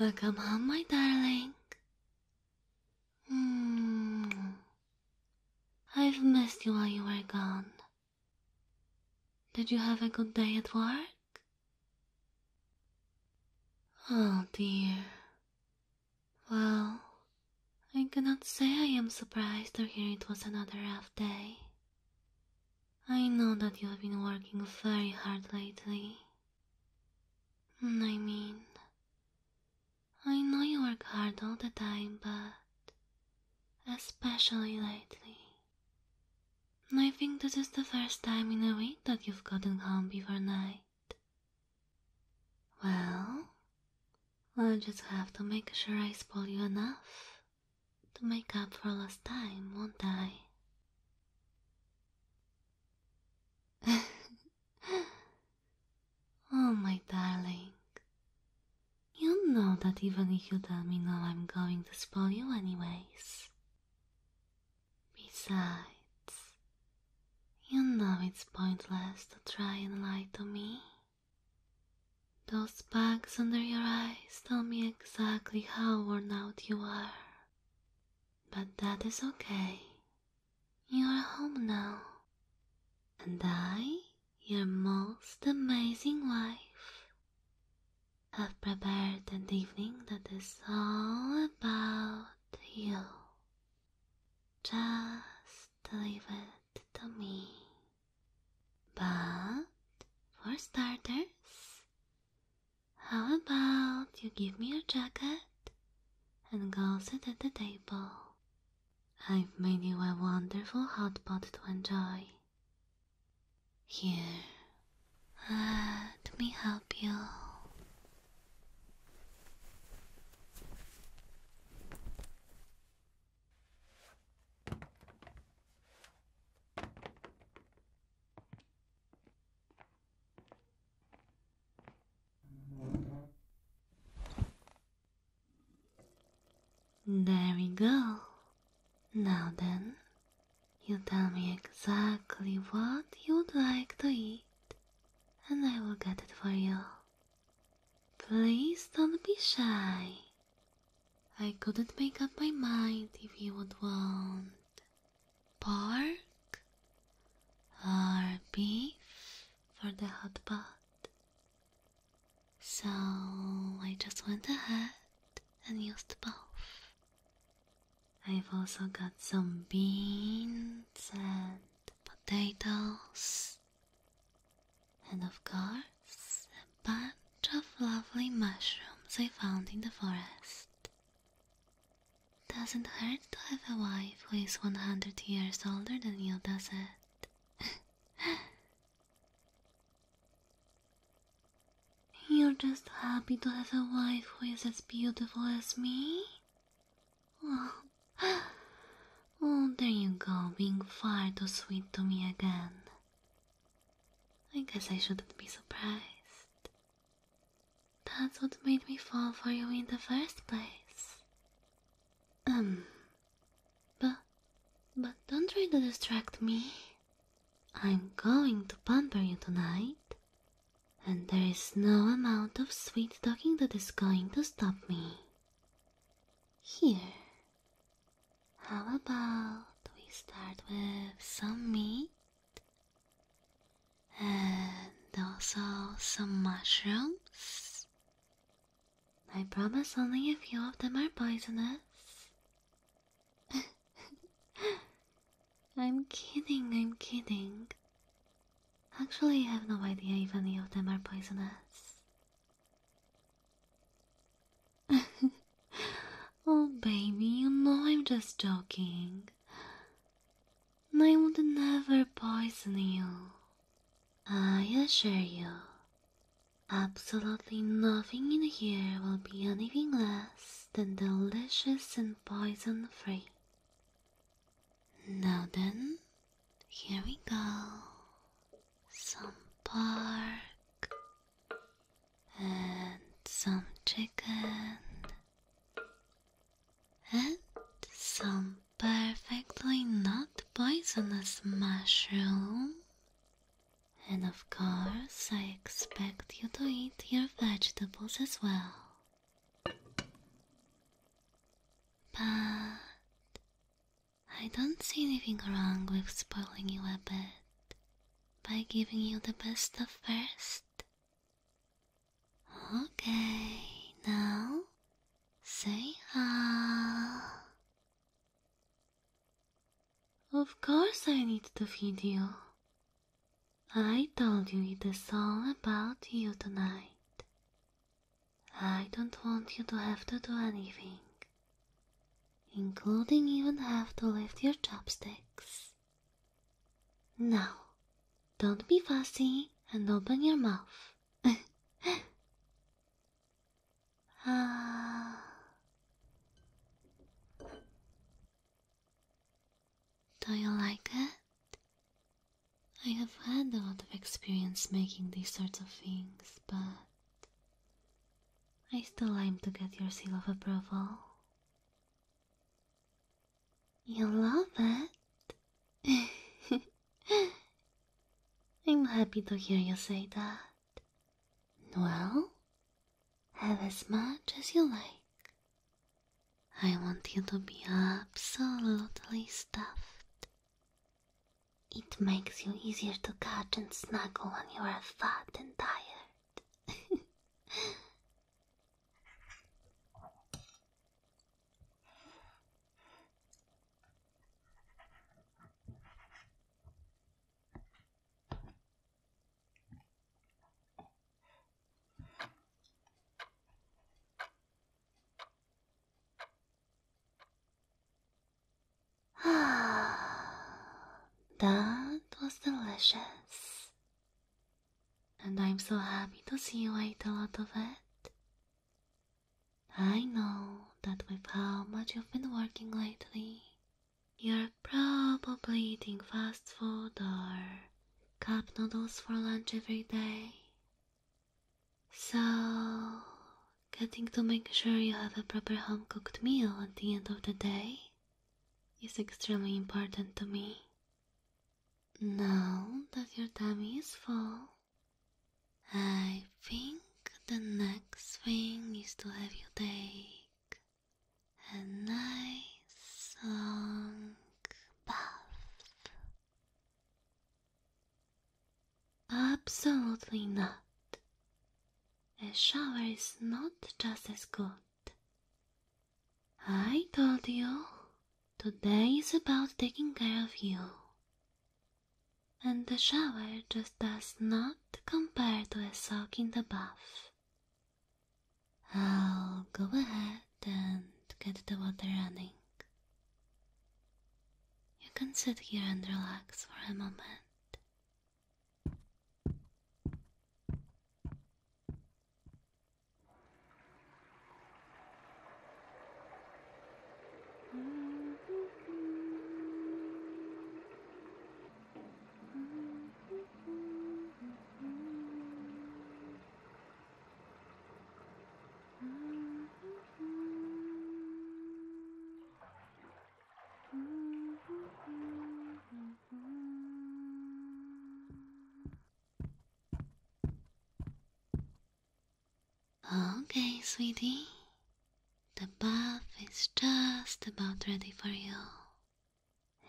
Welcome home, my darling. Mm. I've missed you while you were gone. Did you have a good day at work? Oh dear. Well, I cannot say I am surprised to hear it was another rough day. I know that you have been working very hard lately. I mean, I know you work hard all the time, but especially lately. I think this is the first time in a week that you've gotten home before night. Well, I'll just have to make sure I spoil you enough to make up for last time, won't I? oh, my darling. You know that even if you tell me no, I'm going to spoil you anyways. Besides, you know it's pointless to try and lie to me. Those bags under your eyes tell me exactly how worn out you are. But that is okay. You are home now. And I, your most amazing wife, have prepared an evening that is all about you. Just leave it to me. But for starters, how about you give me your jacket and go sit at the table? I've made you a wonderful hot pot to enjoy. Here, let me help you. There we go. Now then, you tell me exactly what you'd like to eat and I will get it for you. Please don't be shy. I couldn't make up my mind if you would want pork or beef for the hot pot. So I just went ahead and used both. I've also got some beans and potatoes, and of course, a bunch of lovely mushrooms I found in the forest. Doesn't hurt to have a wife who is 100 years older than you, does it? You're just happy to have a wife who is as beautiful as me? Oh. oh, there you go, being far too sweet to me again. I guess I shouldn't be surprised. That's what made me fall for you in the first place. Um, but, but don't try to distract me. I'm going to pamper you tonight, and there is no amount of sweet talking that is going to stop me. Here, how about we start with some meat and also some mushrooms? I promise only a few of them are poisonous. I'm kidding, I'm kidding. Actually, I have no idea if any of them are poisonous. oh, baby, you know I'm just joking. I would never poison you. I assure you, absolutely nothing in here will be anything less than delicious and poison free. Now then, here we go. Some pork and some chicken and some perfectly not poisonous mushroom. And of course, I expect you to eat your vegetables as well. But I don't see anything wrong with spoiling you a bit by giving you the best of first. Okay, now say ah. Of course, I need to feed you. I told you it is all about you tonight. I don't want you to have to do anything, including even have to lift your chopsticks. Now, don't be fussy and open your mouth. ah. Do you like it? I have had a lot of experience making these sorts of things, but I still aim to get your seal of approval. You love it? I'm happy to hear you say that. Well, have as much as you like. I want you to be absolutely stuffed. It makes you easier to catch and snuggle when you are fat and tired. that was delicious. And I'm so happy to see you eat a lot of it. I know that with how much you've been working lately, you're probably eating fast food or cup noodles for lunch every day. So, getting to make sure you have a proper home cooked meal at the end of the day is extremely important to me. Now that your tummy is full, I think the next thing is to have you take a nice long bath. Absolutely not. A shower is not just as good. I told you today is about taking care of you. And the shower just does not compare to a soak in the bath. I'll go ahead and get the water running. You can sit here and relax for a moment. Okay, sweetie, the bath is just about ready for you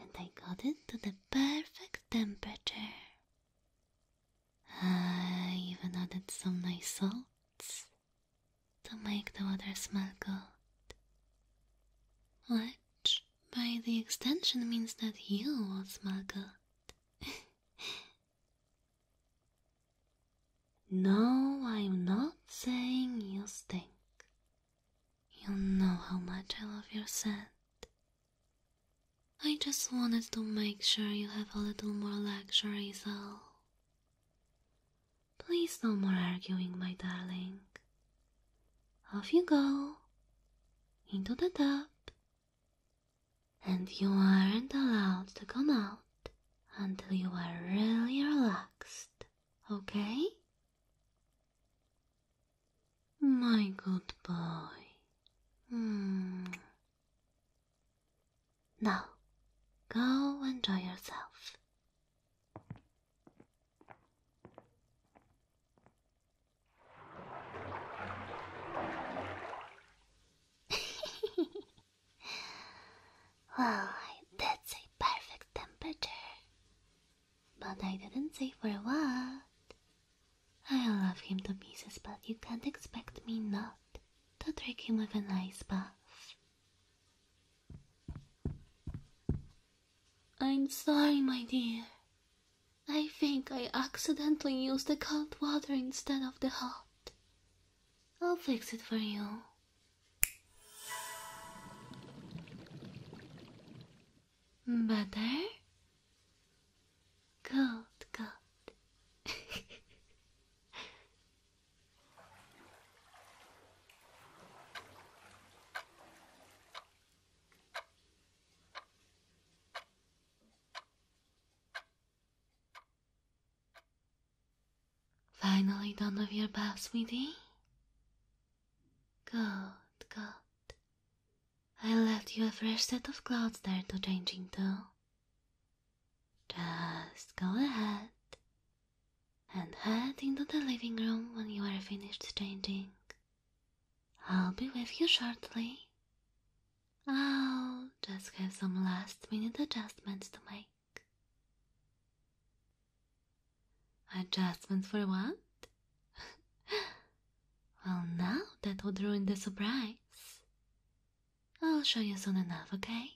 and I got it to the perfect temperature. I ah, even added some nice salts to make the water smell good. Which, by the extension, means that you will smell good. no, I'm not saying you stink you know how much I love your scent. I just wanted to make sure you have a little more luxury, is all. Please, no more arguing, my darling. Off you go, into the tub, and you aren't allowed to come out until you are really relaxed okay? My good boy. Hmm. Now, go enjoy yourself. Why, that's a perfect temperature. But I didn't say for what. I will love him to pieces, but you can't expect me not to trick him with a nice bath. I'm sorry, my dear. I think I accidentally used the cold water instead of the hot. I'll fix it for you Butter? Gold, gold. Finally done with your bath, sweetie? Good, good. I left you a fresh set of clothes there to change into. Just go ahead and head into the living room when you are finished changing. I'll be with you shortly. I'll just have some last minute adjustments to make. Adjustments for what? well, now that would ruin the surprise. I'll show you soon enough, okay?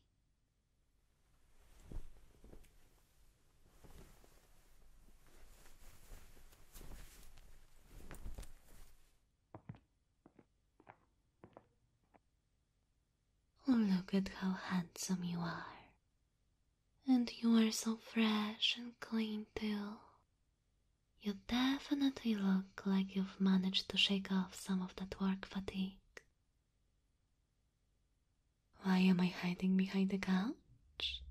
Oh, look at how handsome you are. And you are so fresh and clean, too. You definitely look like you've managed to shake off some of that work fatigue. Why am I hiding behind the couch?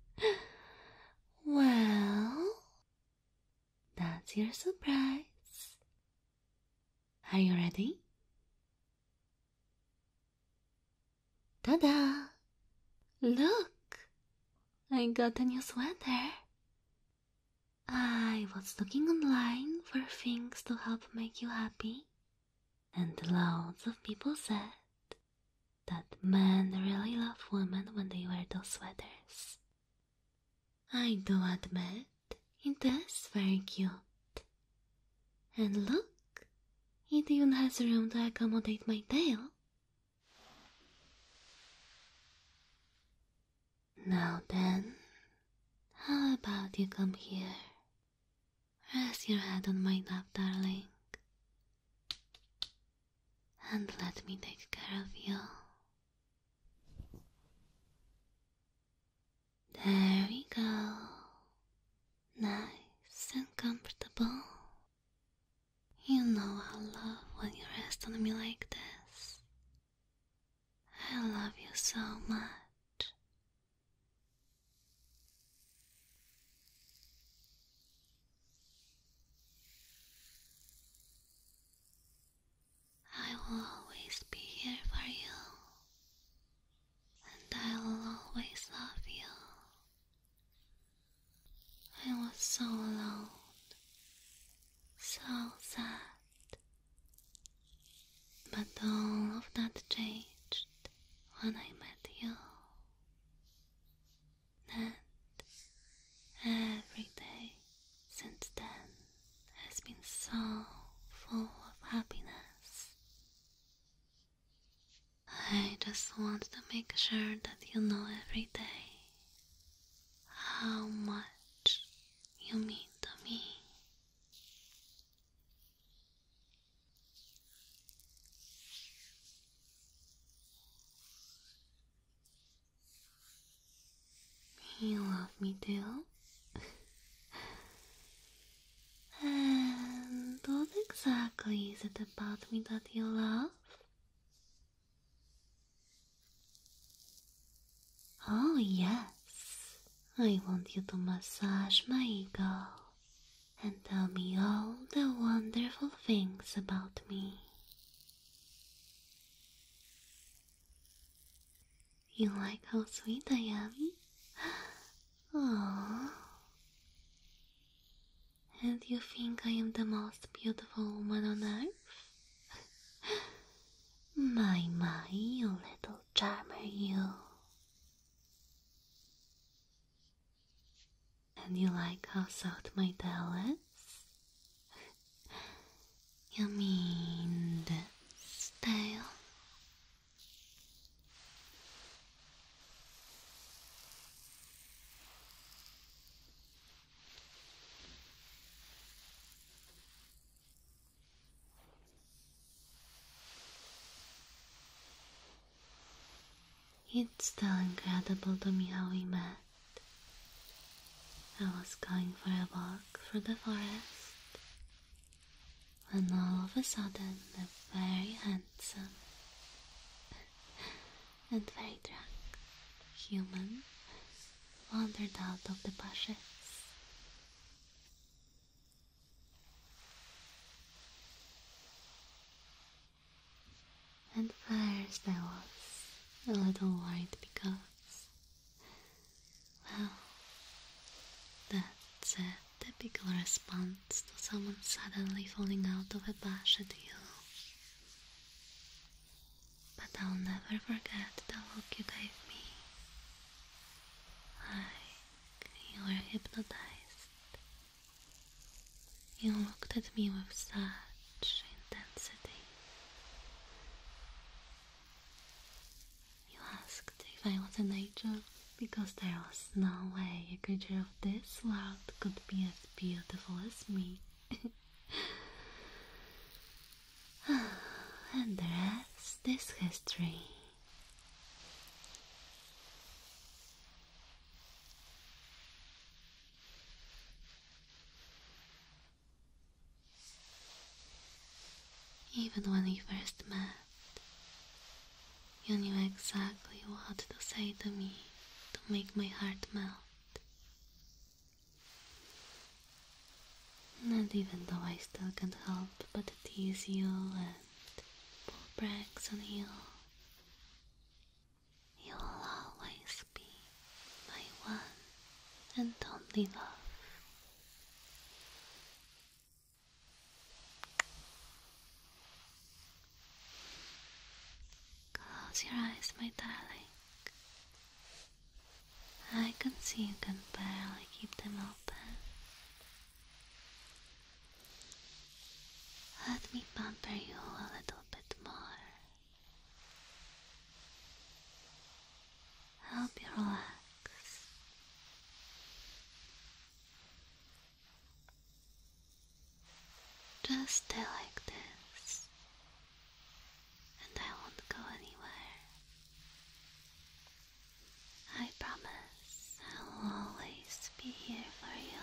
well, that's your surprise. Are you ready? Ta da! Look! I got a new sweater. I was looking online for things to help make you happy, and loads of people said that men really love women when they wear those sweaters. I do admit it is very cute. And look, it even has room to accommodate my tail. Now then, how about you come here? Rest your head on my lap, darling. And let me take care of you. There we go. Nice and comfortable. You know I love when you rest on me like this. I love you so much. I will always be here for you, and I will always love you. I was so alone, so sad, but all of that changed when I met you. And every day since then has been so full of happiness. I just want to make sure that you know every day how much you mean to me. You love me too? and what exactly is it about me that you love? Oh, yes. I want you to massage my ego and tell me all the wonderful things about me. You like how sweet I am? Aww. And you think I am the most beautiful woman on earth? my, my, you little charmer, you. And you like how soft my tail is? You mean that style? It's still incredible to me how we met. I was going for a walk through the forest when all of a sudden a very handsome and very drunk human wandered out of the bushes. And first I was a little worried because well, that's a typical response to someone suddenly falling out of a bush at you. But I'll never forget the look you gave me. Like you were hypnotized. You looked at me with such intensity. You asked if I was a angel because there was no way a creature of this world could be as beautiful as me. and there is this history. Even when we first met, you knew exactly what to say to me to make my heart melt. Not even though I still can't help but tease you and pull pranks on you. You will always always be my one and only love. Close your eyes, my darling. I can see you can barely keep them open. Let me pamper you a little bit more. Help you relax. Just stay like this, and I won't go anywhere. I promise I will always be here for you.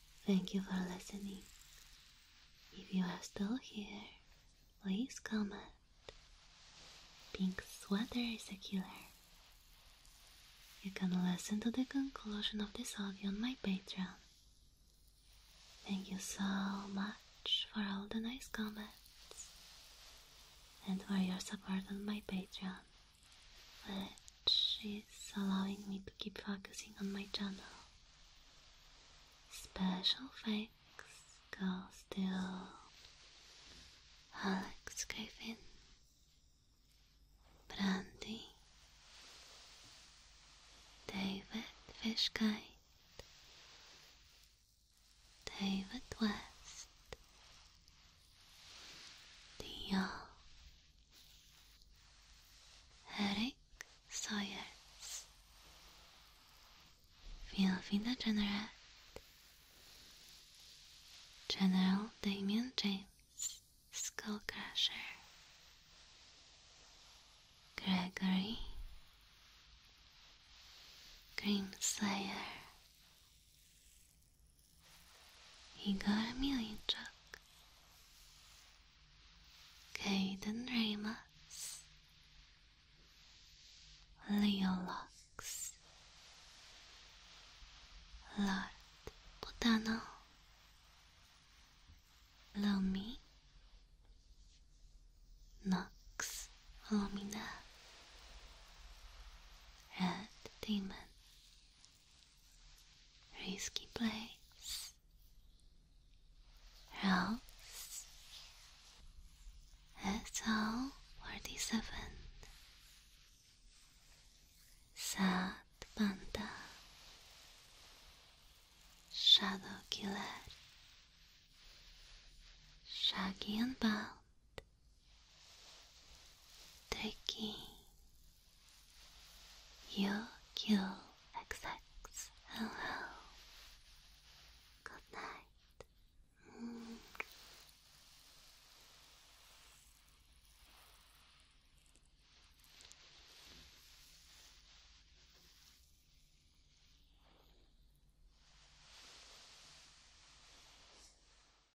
Thank you for listening. If you are still here, please comment. Pink sweater is a killer. You can listen to the conclusion of this audio on my Patreon. Thank you so much for all the nice comments and for your support on my Patreon which she's allowing me to keep focusing on my channel. Special thanks goes to Alex Griffin, Brandy, David Fishkite, David West, Theo, you Eric Sawyers Field Finder General General Damien James Skullcrusher Gregory Grim Slayer got a million 이갈미의적 Caden Remus Leolox Lord Botano Lumi Nox Lumina Red Demon risky place, else that's all forty seven Sat Panda Shadow Killer Shaggy and Bound Taking your hello. Good night.